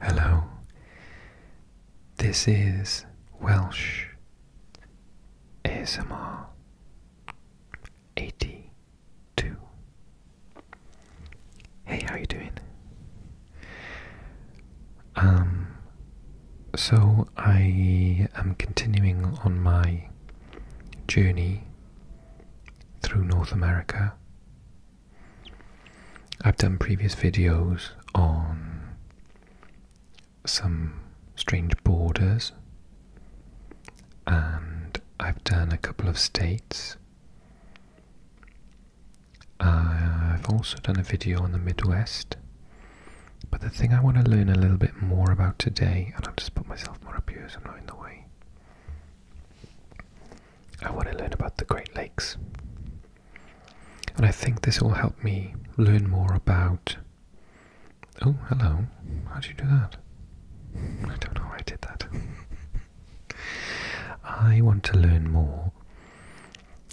Hello, this is Welsh ASMR 82. Hey, how you doing? Um, so I am continuing on my journey through North America I've done previous videos on some strange borders, and I've done a couple of states. I've also done a video on the Midwest, but the thing I want to learn a little bit more about today, and I'll just put myself more up here so I'm not in the way, I want to learn about the Great Lakes. And I think this will help me learn more about. Oh, hello. How do you do that? I don't know how I did that. I want to learn more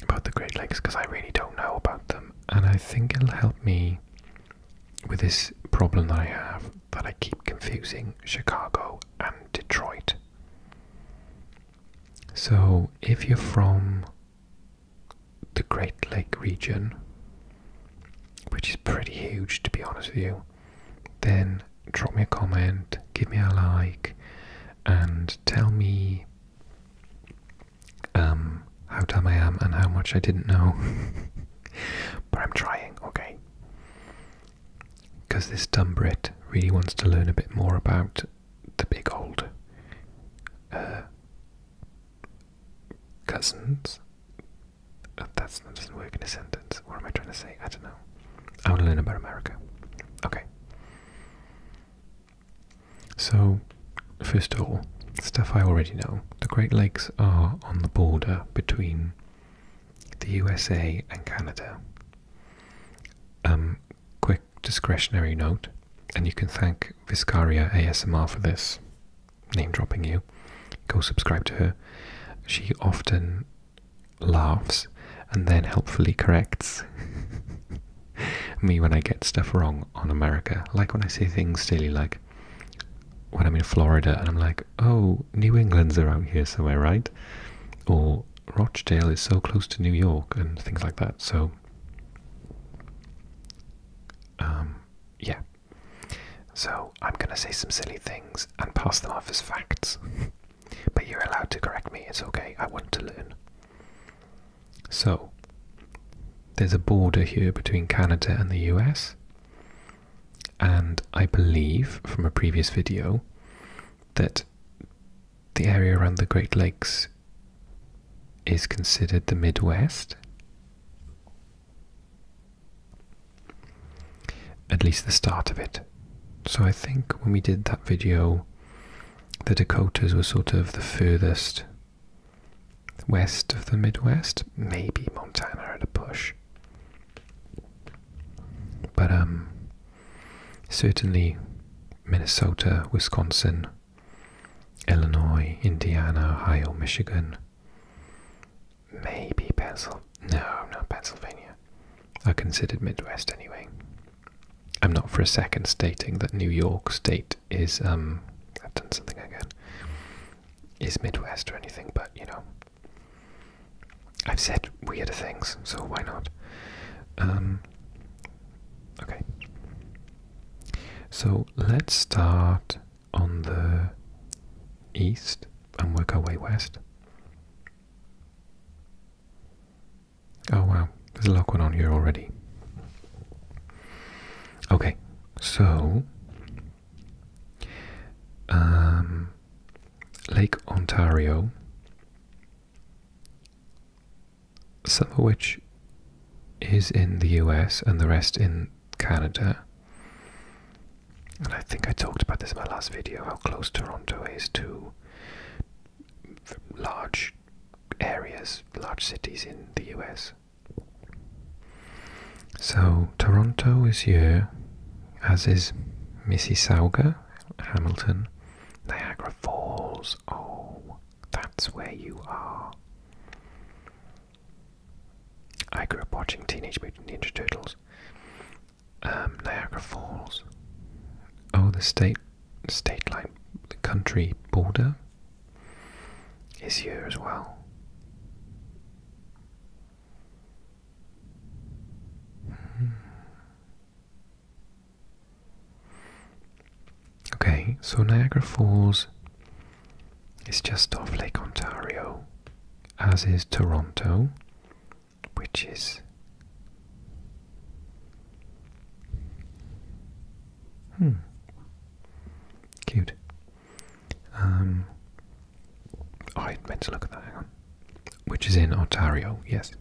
about the Great Lakes because I really don't know about them, and I think it'll help me with this problem that I have that I keep confusing Chicago and Detroit. So, if you're from the Great Lake region, which is pretty huge to be honest with you, then drop me a comment, give me a like, and tell me um, how dumb I am and how much I didn't know. but I'm trying, okay? because this dumb Brit really wants to learn a bit more about the big old uh, cousins. Oh, that's, not work in a sentence. What am I trying to say? I don't know. I want to learn about America. Okay. So, first of all, stuff I already know. The Great Lakes are on the border between the USA and Canada. Um, quick discretionary note, and you can thank Viscaria ASMR for this, name dropping you. Go subscribe to her. She often laughs and then helpfully corrects me when I get stuff wrong on America. Like when I say things silly, like when I'm in Florida and I'm like, oh, New England's around here somewhere, right? Or Rochdale is so close to New York and things like that. So, um, yeah. So I'm going to say some silly things and pass them off as facts. but you're allowed to correct me. It's okay. I want to learn. So, there's a border here between Canada and the US and I believe from a previous video that the area around the Great Lakes is considered the Midwest. At least the start of it. So I think when we did that video, the Dakotas were sort of the furthest west of the Midwest, maybe Montana had a push. But um, certainly Minnesota, Wisconsin, Illinois, Indiana, Ohio, Michigan, maybe Pennsylvania. No, not Pennsylvania. I considered Midwest anyway. I'm not for a second stating that New York State is um. I've done something again. Is Midwest or anything, but you know, I've said weird things, so why not? Um, okay. So let's start on the east and work our way west. Oh wow, there's a lot going on here already. Okay, so um, Lake Ontario, some of which is in the US and the rest in Canada. And I think I talked about this in my last video how close Toronto is to large areas, large cities in the US. So Toronto is here, as is Mississauga, Hamilton, Niagara Falls. Oh, that's where you are. I grew up watching Teenage Mutant Ninja Turtles. Um, Niagara Falls. Oh, the state, state line, the country border is here as well. Okay, so Niagara Falls is just off Lake Ontario, as is Toronto, which is. Hmm. Cute. Um, oh, I meant to look at that, hang on. Which is in Ontario, yes.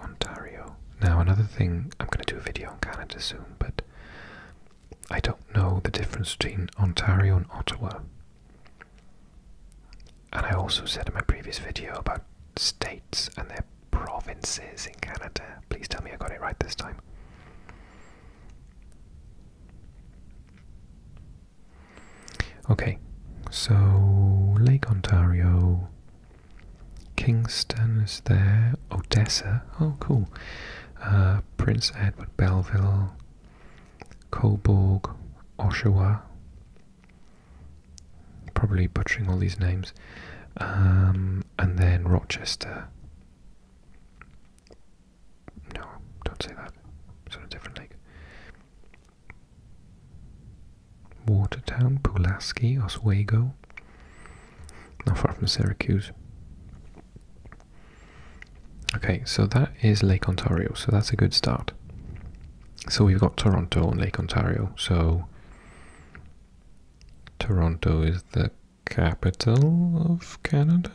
Ontario. Now, another thing, I'm going to do a video on Canada soon, but I don't know the difference between Ontario and Ottawa. And I also said in my previous video about states and their provinces in Canada. Please tell me I got it right this time. Okay, so Lake Ontario, Kingston is there, Odessa, oh cool, uh, Prince Edward Belleville, Cobourg, Oshawa, probably butchering all these names, um, and then Rochester. No, don't say that. It's on a different lake. Watertown, Pulaski, Oswego. Not far from Syracuse. Okay, so that is Lake Ontario, so that's a good start. So we've got Toronto and Lake Ontario, so Toronto is the capital of Canada?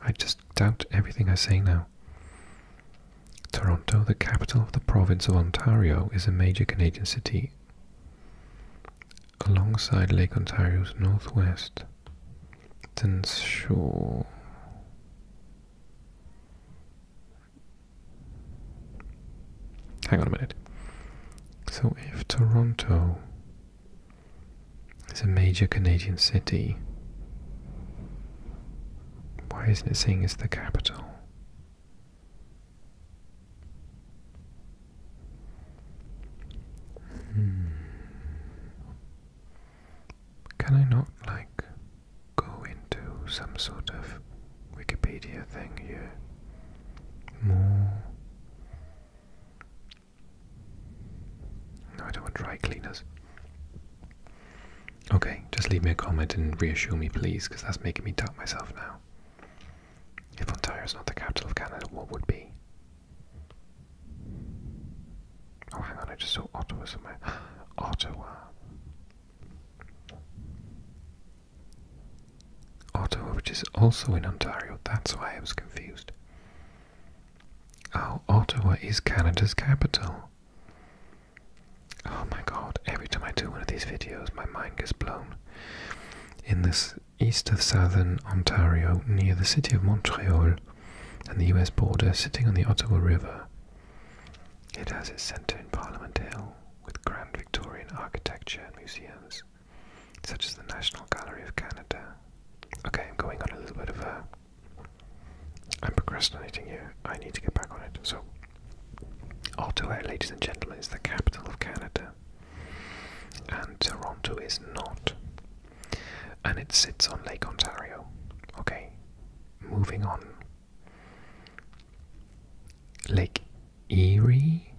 I just doubt everything I say now. Toronto, the capital of the province of Ontario, is a major Canadian city alongside Lake Ontario's northwest. Dens Shore. Hang on a minute. So if Toronto it's a major Canadian city. Why isn't it saying it's the capital? Hmm. Can I not, like, go into some sort of Wikipedia thing here? More no, I don't want dry cleaners. Okay, just leave me a comment and reassure me, please, because that's making me doubt myself now. If Ontario is not the capital of Canada, what would be? Oh, hang on, I just saw Ottawa somewhere. Ottawa. Ottawa, which is also in Ontario, that's why I was confused. Oh, Ottawa is Canada's capital. Oh my god, every time I do one of these videos, my mind gets blown. In this east of southern Ontario, near the city of Montreal and the US border, sitting on the Ottawa River, it has its centre in Parliament Hill with grand Victorian architecture and museums, such as the National Gallery of Canada Okay, I'm going on a little bit of a. I'm procrastinating here. I need to get back on it. So, Ottawa, eh, ladies and gentlemen, is the capital of Canada, and Toronto is not. And it sits on Lake Ontario. Okay, moving on. Lake Erie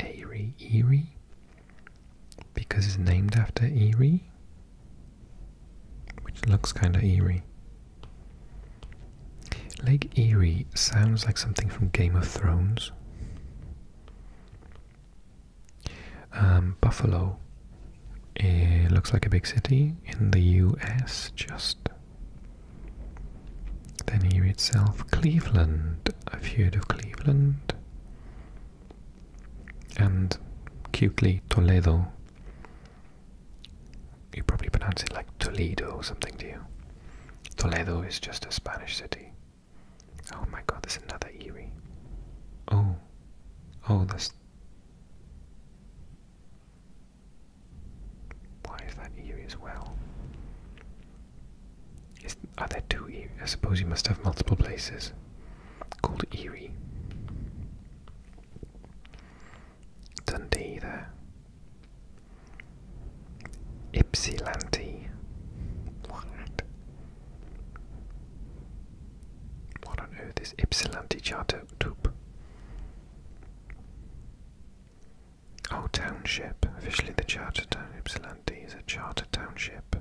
Erie, Erie, because it's named after Erie, which looks kind of eerie. Lake Erie sounds like something from Game of Thrones. Um, Buffalo it eh, looks like a big city in the US, just. Then here itself, Cleveland. a have of Cleveland and cutely Toledo. You probably pronounce it like Toledo or something, do you? Toledo is just a Spanish city. Oh my god, there's another eerie. Oh. Oh, that's. Why is that eerie as well? are there two I suppose you must have multiple places called Erie. Dundee there. Ypsilanti. What? What on earth is Ypsilanti Charter Toop? Oh, township. Officially the charter town Ypsilanti is a charter township.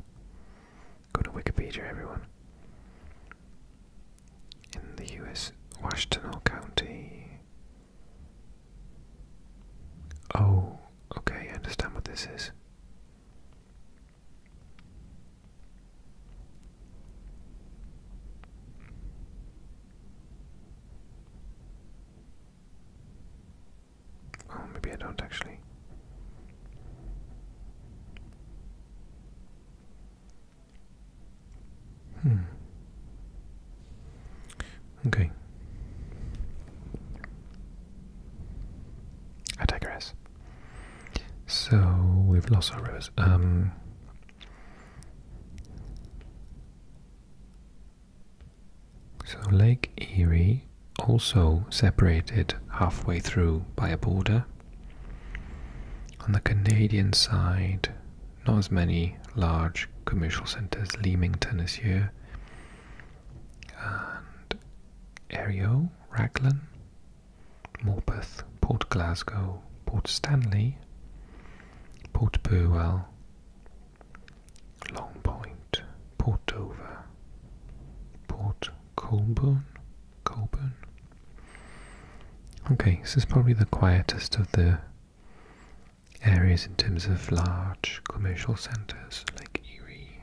Go to Wikipedia, everyone. In the US, Washtenaw County. Oh, okay, I understand what this is. Oh, maybe I don't actually. Hmm. Okay. I digress. So we've lost our rivers. Um so Lake Erie, also separated halfway through by a border. On the Canadian side, not as many large commercial centres, Leamington is here, and Erio, Raglan, Morpeth, Port Glasgow, Port Stanley, Port Burwell, Long Point, Port Dover, Port Colborne, Colburn. Okay, this is probably the quietest of the areas in terms of large commercial centres like Erie.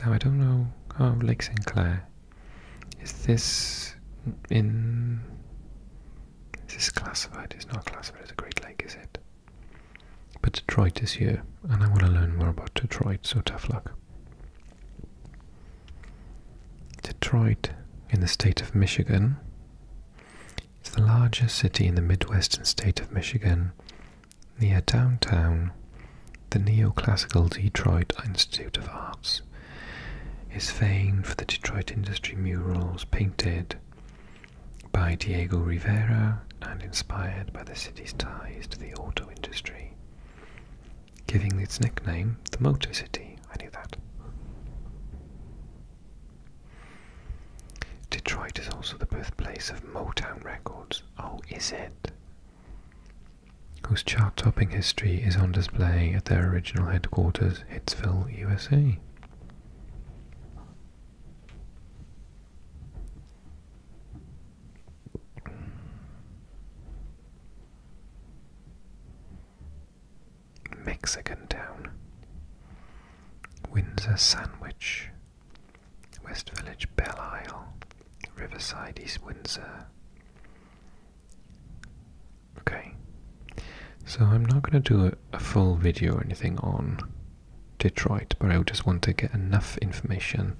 Now I don't know, oh, Lake Clair. Is this in. Is this classified? It's not classified as a Great Lake, is it? But Detroit is here, and I want to learn more about Detroit, so tough luck. Detroit, in the state of Michigan, is the largest city in the midwestern state of Michigan, near downtown. The neoclassical Detroit Institute of Arts is famed for the Detroit industry murals painted by Diego Rivera and inspired by the city's ties to the auto industry, giving its nickname the Motor City. I knew that. Detroit is also the birthplace of Motown Records. Oh, is it? Whose chart topping history is on display at their original headquarters, Hitsville, USA. Mexican Windsor Sandwich, West Village Belle Isle, Riverside East Windsor. Okay, so I'm not going to do a full video or anything on Detroit, but I just want to get enough information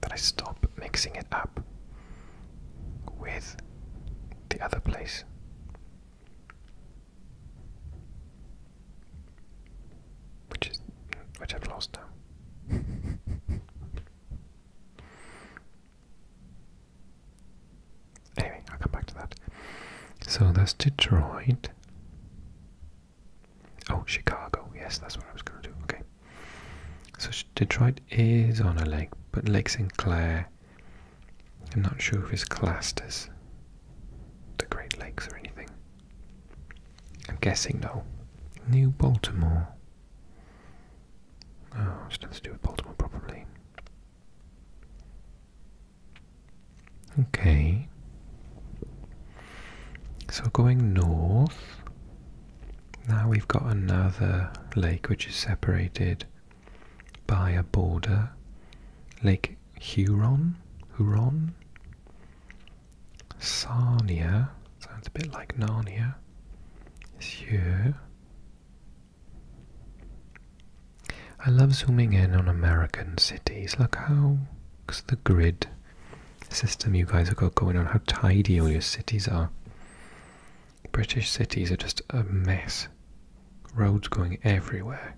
that I stop mixing it up with the other place. Which is which I've lost anyway, I'll come back to that. So that's Detroit. Oh, Chicago. Yes, that's what I was going to do. Okay. So Detroit is on a lake, but Lake Sinclair. I'm not sure if it's classed as the Great Lakes or anything. I'm guessing no. New Baltimore. Oh, it's nothing to do with Baltimore, probably. Okay. So going north, now we've got another lake which is separated by a border. Lake Huron? Huron? Sarnia? Sounds a bit like Narnia. It's I love zooming in on American cities. Look how, because the grid system you guys have got going on, how tidy all your cities are. British cities are just a mess. Roads going everywhere.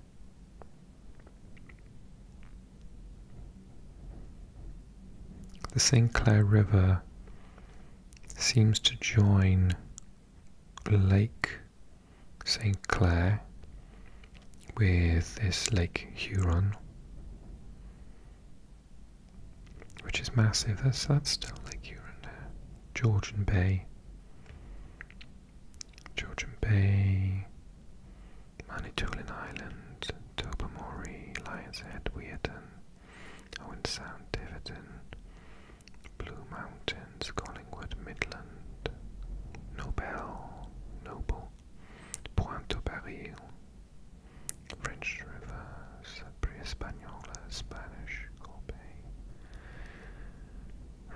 The St. Clair River seems to join Lake St. Clair with this Lake Huron, which is massive. That's, that's still Lake Huron Georgian Bay. Georgian Bay. Manitoulin Island. Tobermory. Lion's Head. Weirton. Owen Sound. Tiverton. Blue Mountains. Colin Midland, Nobel, Noble, Pointe-au-Baril, French River, Pre-Española, Spanish, Corbeil,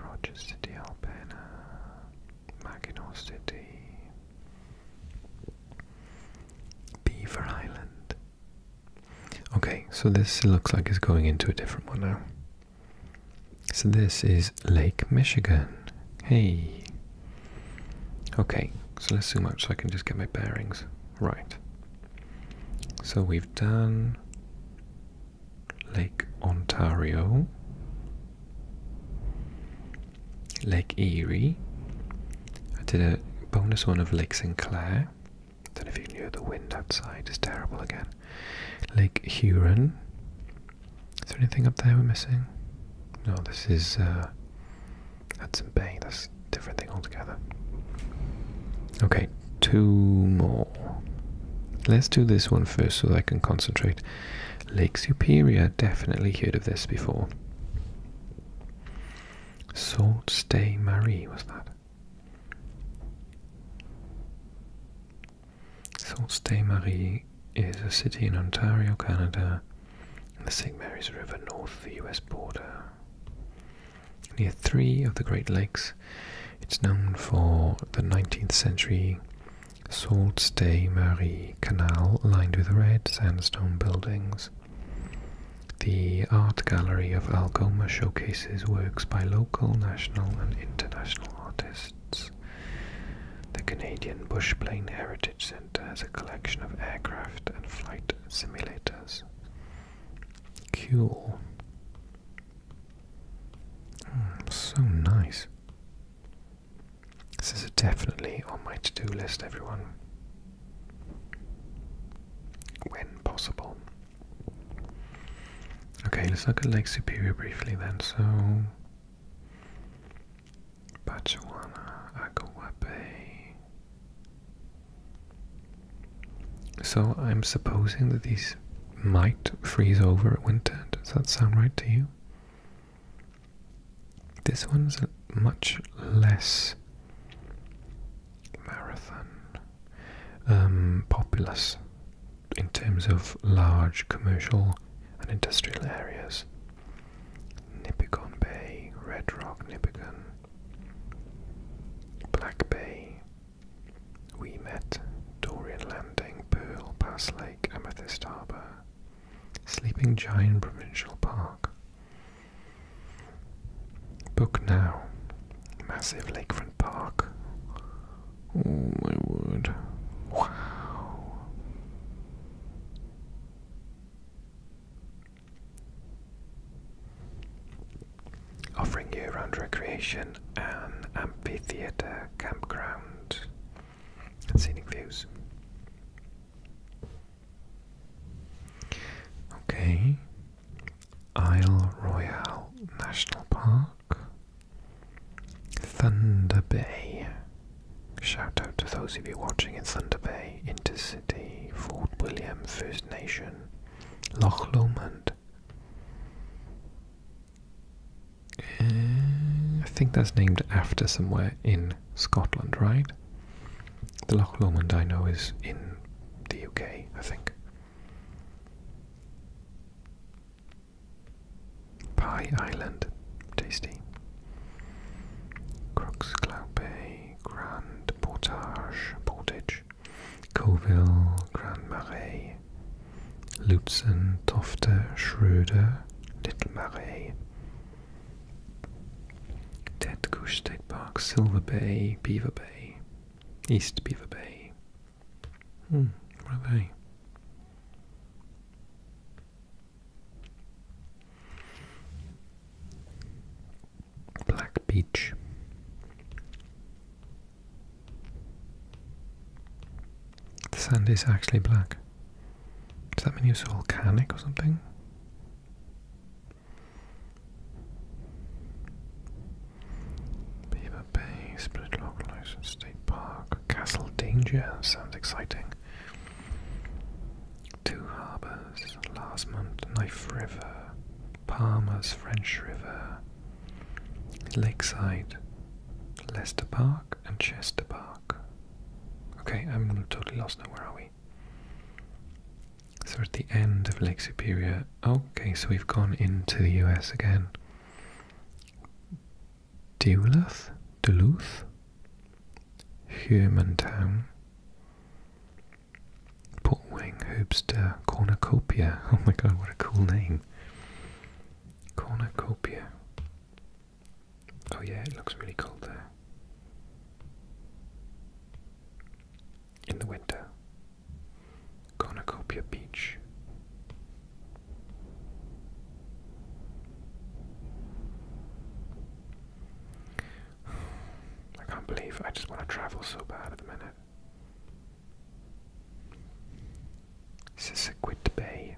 Rogers City, Albana, Mackinac City, Beaver Island. Okay, so this looks like it's going into a different one now. So this is Lake Michigan. Hey. Okay, so let's zoom out so I can just get my bearings. Right. So we've done Lake Ontario, Lake Erie. I did a bonus one of Lake Sinclair. I don't know if you can hear the wind outside, it's terrible again. Lake Huron, is there anything up there we're missing? No, this is uh, Hudson Bay. That's a different thing altogether. Okay, two more. Let's do this one first so that I can concentrate. Lake Superior, definitely heard of this before. Salt Ste. Marie, was that? Sault Ste. Marie is a city in Ontario, Canada, in the St. Mary's River north of the US border. Near three of the Great Lakes, it's known for the 19th century Sault Ste. Marie Canal lined with red sandstone buildings. The Art Gallery of Algoma showcases works by local, national, and international artists. The Canadian Bushplane Heritage Centre has a collection of aircraft and flight simulators. Cool. Hmm, so nice. This is definitely on my to do list, everyone. When possible. Okay, let's look at Lake Superior briefly then. So, Bachuana, Agawape. So I'm supposing that these might freeze over at winter. Does that sound right to you? This one's much less marathon um, populous in terms of large commercial and industrial areas. Nipigon Bay, Red Rock Nipigon, Black Bay, We Met, Dorian Landing, Pearl, Pass Lake, Amethyst Harbour, Sleeping Giant Provincial Park. Book now. Massive lakefront park Oh my word. Wow. Offering year round recreation and amphitheatre, campground, and scenic views. Okay. Isle Royale National Park. Thunder Bay. Shout out to those of you watching in Thunder Bay, Intercity, Fort William, First Nation, Loch Lomond. Uh, I think that's named after somewhere in Scotland, right? The Loch Lomond I know is in the UK, I think. Pie Island, tasty. Crooks, Cloud Bay, Grand Portage, Portage, Colville, Grand Marais, Lutzen, Tofte, Schroeder, Little Marais, Dead Goose State Park, Silver Bay, Beaver Bay, East Beaver Bay, Hmm, what are they? Black Beach. The sand is actually black. Does that mean it's volcanic or something? Beaver Bay, Split Log License State Park, Castle Danger, sounds exciting. Two Harbors, Lasmont, Knife River, Palmer's French River, Lakeside, Lester Park, and Chester Park. Okay, I'm totally lost now. Where are we? So at the end of Lake Superior. Okay, so we've gone into the US again. Duluth, Duluth, Humantown, Wing, Hoopster, Cornucopia. Oh my god, what a cool name! Cornucopia. Oh yeah, it looks really cold there. In the winter, Cornucopia Beach. I can't believe I just want to travel so bad at the minute. Sisequit Bay.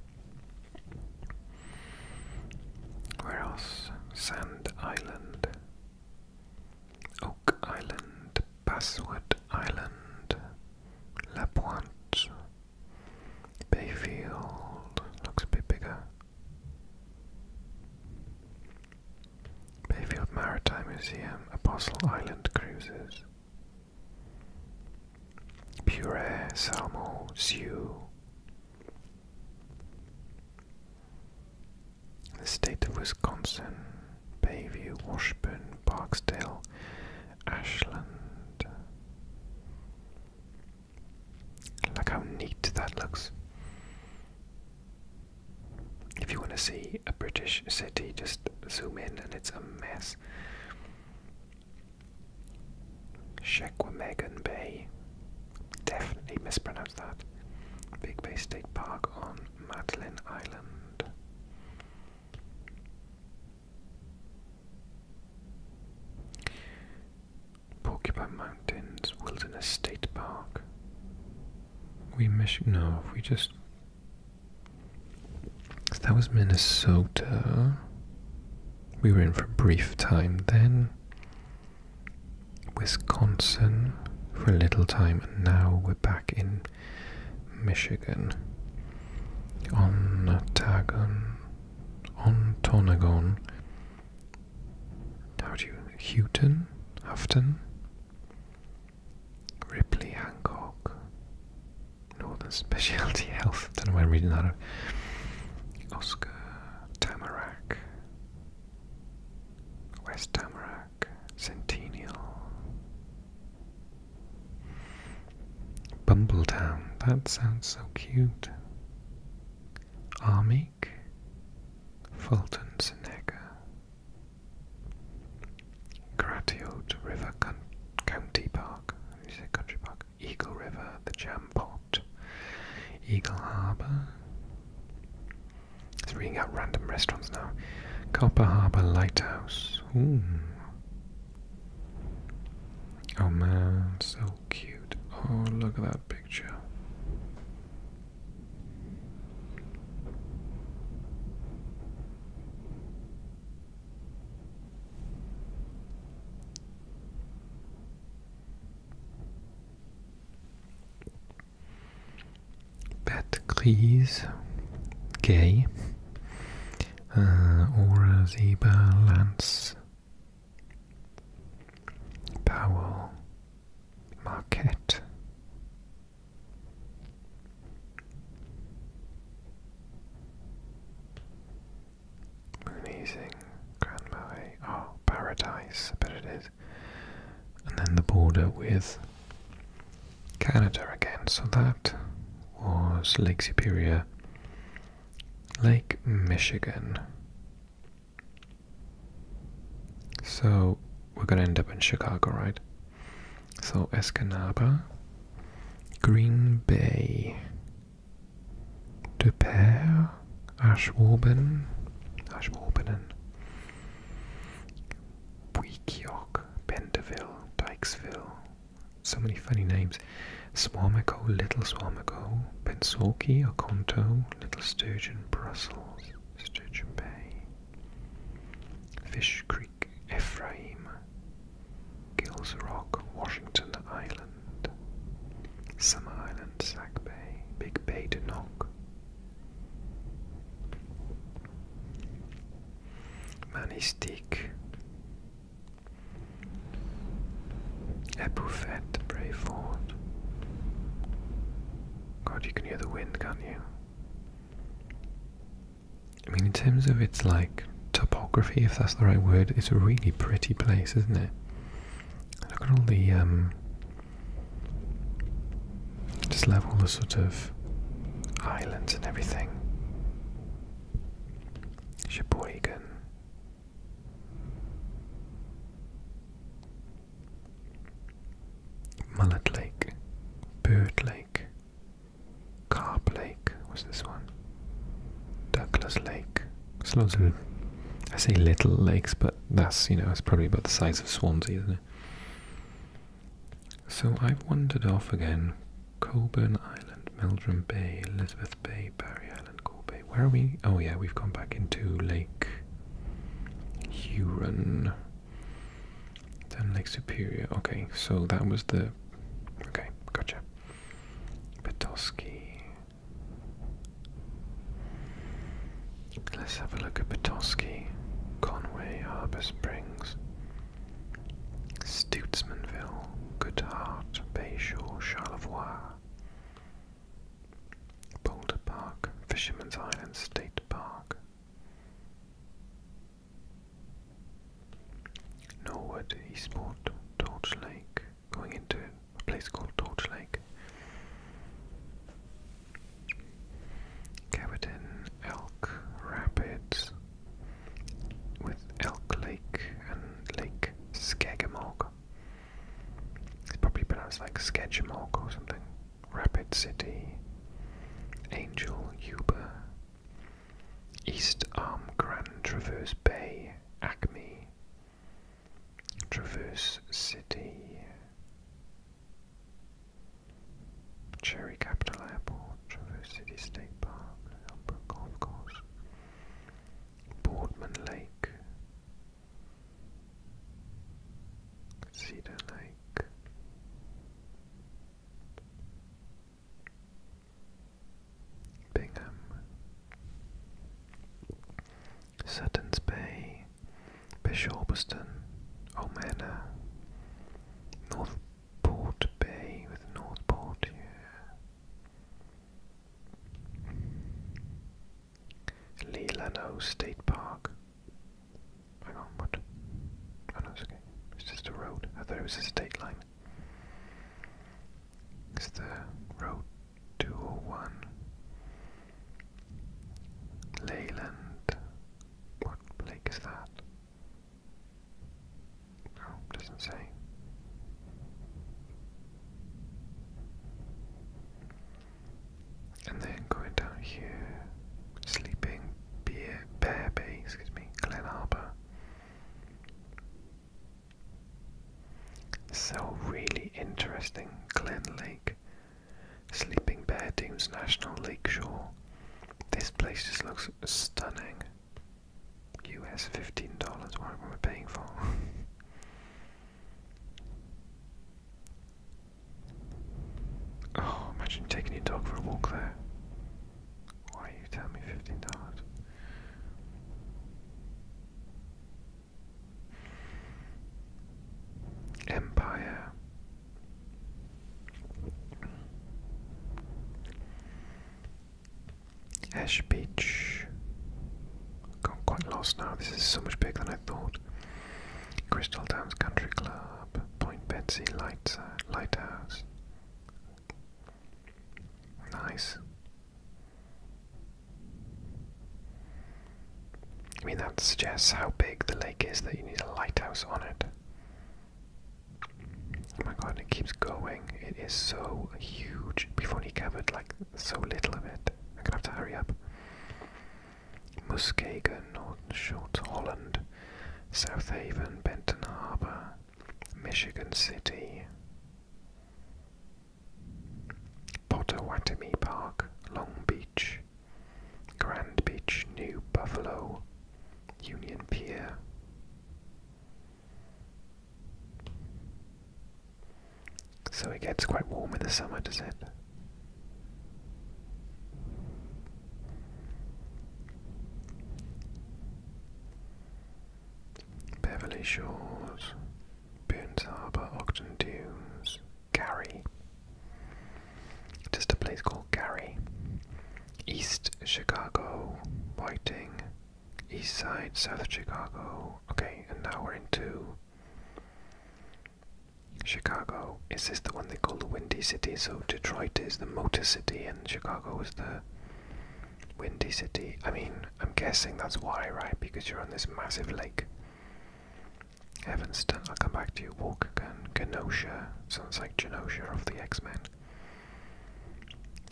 Where else? Sand Island. Oak Island. Basswood Island, La Pointe, Bayfield, looks a bit bigger. Bayfield Maritime Museum, Apostle Island Cruises, Puree, Salmo, Sioux. The state of Wisconsin, Bayview, Washburn, Barksdale, Ashland. Look how neat that looks. If you want to see a British city, just zoom in and it's a mess. Shequamegon Bay. Definitely mispronounced that. Big Bay State Park on Madeline Island. Porcupine Mountains Wilderness State Park. We miss no, we just that was Minnesota. We were in for a brief time then. Wisconsin for a little time, and now we're back in Michigan, Ontagon, Ontonagon, how do you, Houghton, Houghton, Ripley, Hancock, Northern Specialty Health, don't know why I'm reading that out. Oscar, Tamarack, West Tamarack. Centennial. Bumbletown, that sounds so cute. Armeek, Fulton Seneca. Gratiot River County Park, you say Country Park, Eagle River, the Jam Pot, Eagle Harbour. It's reading out random restaurants now. Copper Harbour Lighthouse, Oh man, so cute. Oh, look at that picture. Pat Grise, Gay, uh, Aura Zeba, Lance, Powell, Marquette. Moon Easing, Grand Marais, oh, Paradise, I bet it is and then the border with Canada again. So that was Lake Superior, Lake Michigan. So we're going to end up in Chicago, right? So Escanaba, Green Bay, De Pere, Ashwarben, Ashwarbenen, York, Dykesville. So many funny names. Swamico, Little Swamico, Pensaukee, Oconto, Little Sturgeon, Brussels, Sturgeon Bay, Fish Creek, Ephraim, Gills Rock, Washington Island, Summer Island, Sag Bay, Big Bay to Manistique. Epoufette, Brayford. God, you can hear the wind, can't you? I mean, in terms of its like topography, if that's the right word, it's a really pretty place, isn't it? Look at all the um, just love all the sort of islands and everything. Sheboygan. Mullet Lake, Bird Lake, Carp Lake was this one, Douglas Lake. There's lots of, I say little lakes, but that's, you know, it's probably about the size of Swansea, isn't it? So I've wandered off again. Coburn Island, Meldrum Bay, Elizabeth Bay, Barry Island, Gore Where are we? Oh yeah, we've gone back into Lake Huron. Then Lake Superior. Okay, so that was the... Okay, gotcha. Petoskey. Let's have a look at Petoskey, Conway, Harbour Springs, Stutesmanville, Goodhart, Bayshore, Charlevoix, Boulder Park, Fisherman's Island State Park, Norwood, Eastport, Torch Lake, going into a place called Torch Lake. Cabotin, Elk Rapids, with Elk Lake and Lake Skegamog. It's probably pronounced like Skegamog or something. Rapid City, Angel Yuba, East Arm Grand Traverse Bay, Acme, Traverse City, Cherry Capital Airport, Traverse City State Park, Elmbrook Golf Course, Boardman Lake, Cedar Lake. Bingham, Sutton's Bay, Bishorpston, Omena, uh, Northport Bay with Northport, yeah. Leelano State Park. Hang on, what? Oh no, it's okay. It's just a road. I thought it was a state line. It's the road 201. Leyland. What lake is that? No, doesn't say. And then going down here, sleeping bear bay, excuse me, Glen Harbour. So really interesting Glen Lake. Sleeping Bear Dunes National Lake Shore. This place just looks stunning. US $15, what are we paying for? oh, imagine taking your dog for a walk there. Why are you telling me $15? Empire. Ash Beach. Got quite lost now. This is so much bigger than I thought. Crystal Downs Country Club, Point Betsy uh, Lighthouse. Nice. I mean, that suggests how big the lake is that you need a lighthouse on it. Oh my god, it keeps going. It is so huge. We've covered like so little of it. I'm gonna have to hurry up. Muskegon, Northern Shorts, Holland, South Haven, Benton Harbor, Michigan City, Pottawatomie Park, Long Beach, Grand Beach, New Buffalo, Union Pier. So it gets quite warm in the summer, does it? Beverly Shores, Burns Harbour, Ogden Dunes, Gary. Just a place called Gary. East Chicago, Whiting, East Side, South Chicago. Okay, and now we're into Chicago. Is this the one they call the Windy City? So Detroit is the Motor City, and Chicago is the Windy City. I mean, I'm guessing that's why, right? Because you're on this massive lake. Evanston, I'll come back to you. Walkergun, Genosha, sounds like Genosha of the X Men.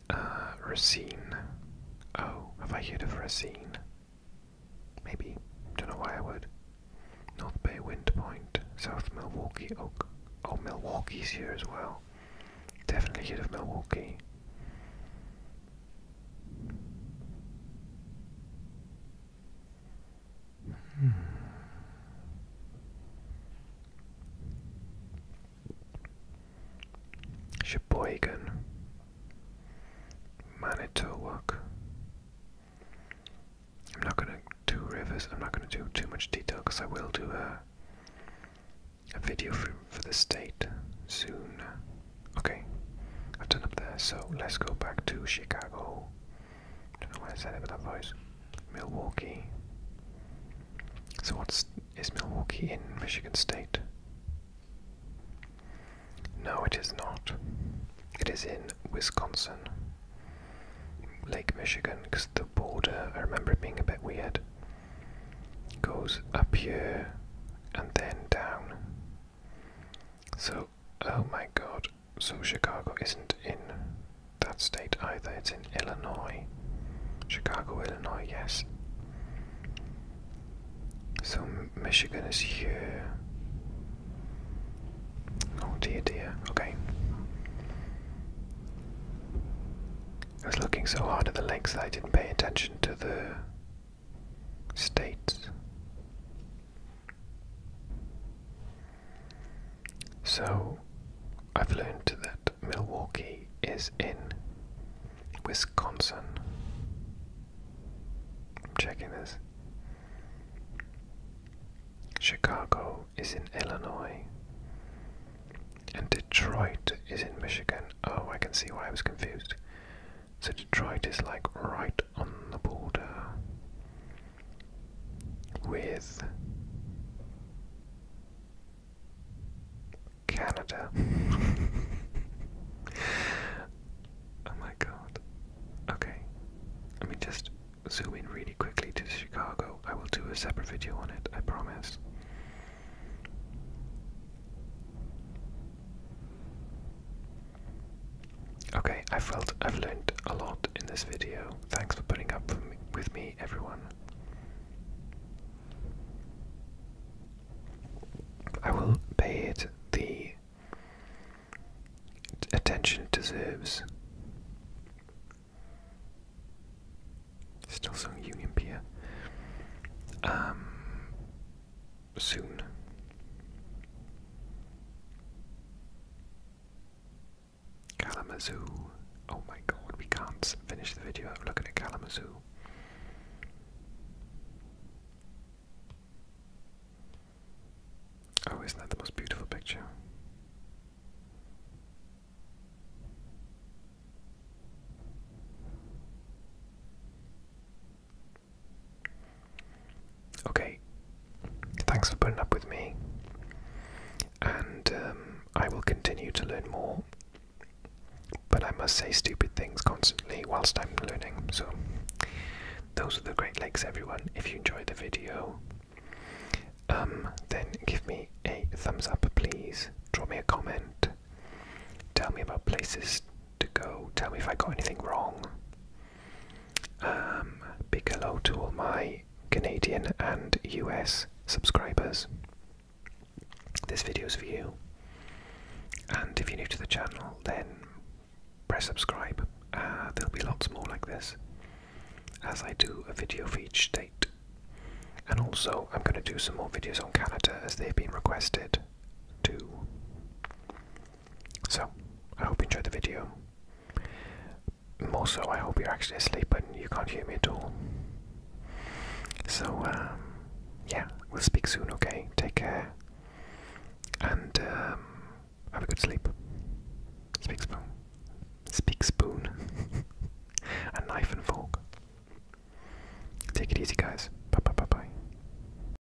Uh, Racine. Oh, have I heard of Racine? Maybe. Don't know why I would. North Bay, Wind Point, South Milwaukee, Oak. Oh, Milwaukee's here as well. Definitely heard of Milwaukee. Hmm. Manitowoc. I'm not going to do rivers, I'm not going to do too much detail because I will do a, a video for, for the state soon. Okay, I've done up there, so let's go back to Chicago. I don't know why I said it with that voice. Milwaukee. So what's is Milwaukee in Michigan State? No, it is not. It is in Wisconsin. Lake Michigan, because the border, I remember it being a bit weird, goes up here and then down. So, oh my god, so Chicago isn't in that state either, it's in Illinois. Chicago, Illinois, yes. So Michigan is here. Oh dear, dear, okay. I was looking so hard at the lakes that I didn't pay attention to the states. So I've learned that Milwaukee is in Wisconsin. checking this. Chicago is in Illinois. And Detroit is in Michigan. Oh, I can see why I was confused. So Detroit is like right on the border with Canada. oh my god. Okay. Let me just zoom in really quickly to Chicago. I will do a separate video on it, I promise. Okay, I felt I've learned a lot in this video. Thanks for putting up with me, everyone. I will pay it the attention it deserves. Still some Union Pier soon. Kalamazoo. Oh my god, we can't finish the video looking at Kalamazoo. Oh, isn't that the most beautiful picture? Okay, thanks for putting up with me, and um, I will continue to learn more. But I must say stupid things constantly whilst I'm learning. So, those are the Great Lakes, everyone. If you enjoyed the video, um, then give me a thumbs up, please. Draw me a comment. Tell me about places to go. Tell me if I got anything wrong. Um, big hello to all my Canadian and US subscribers. This video is for you. And if you're new to the channel, then press subscribe. Uh, there'll be lots more like this as I do a video for each state. And also, I'm going to do some more videos on Canada as they've been requested too. So, I hope you enjoyed the video. More so, I hope you're actually asleep and you can't hear me at all. So, um, yeah, we'll speak soon, okay? Take care. And um, have a good sleep. Speak spoon. Speak spoon. a knife and fork. Take it easy, guys. Bye bye bye bye.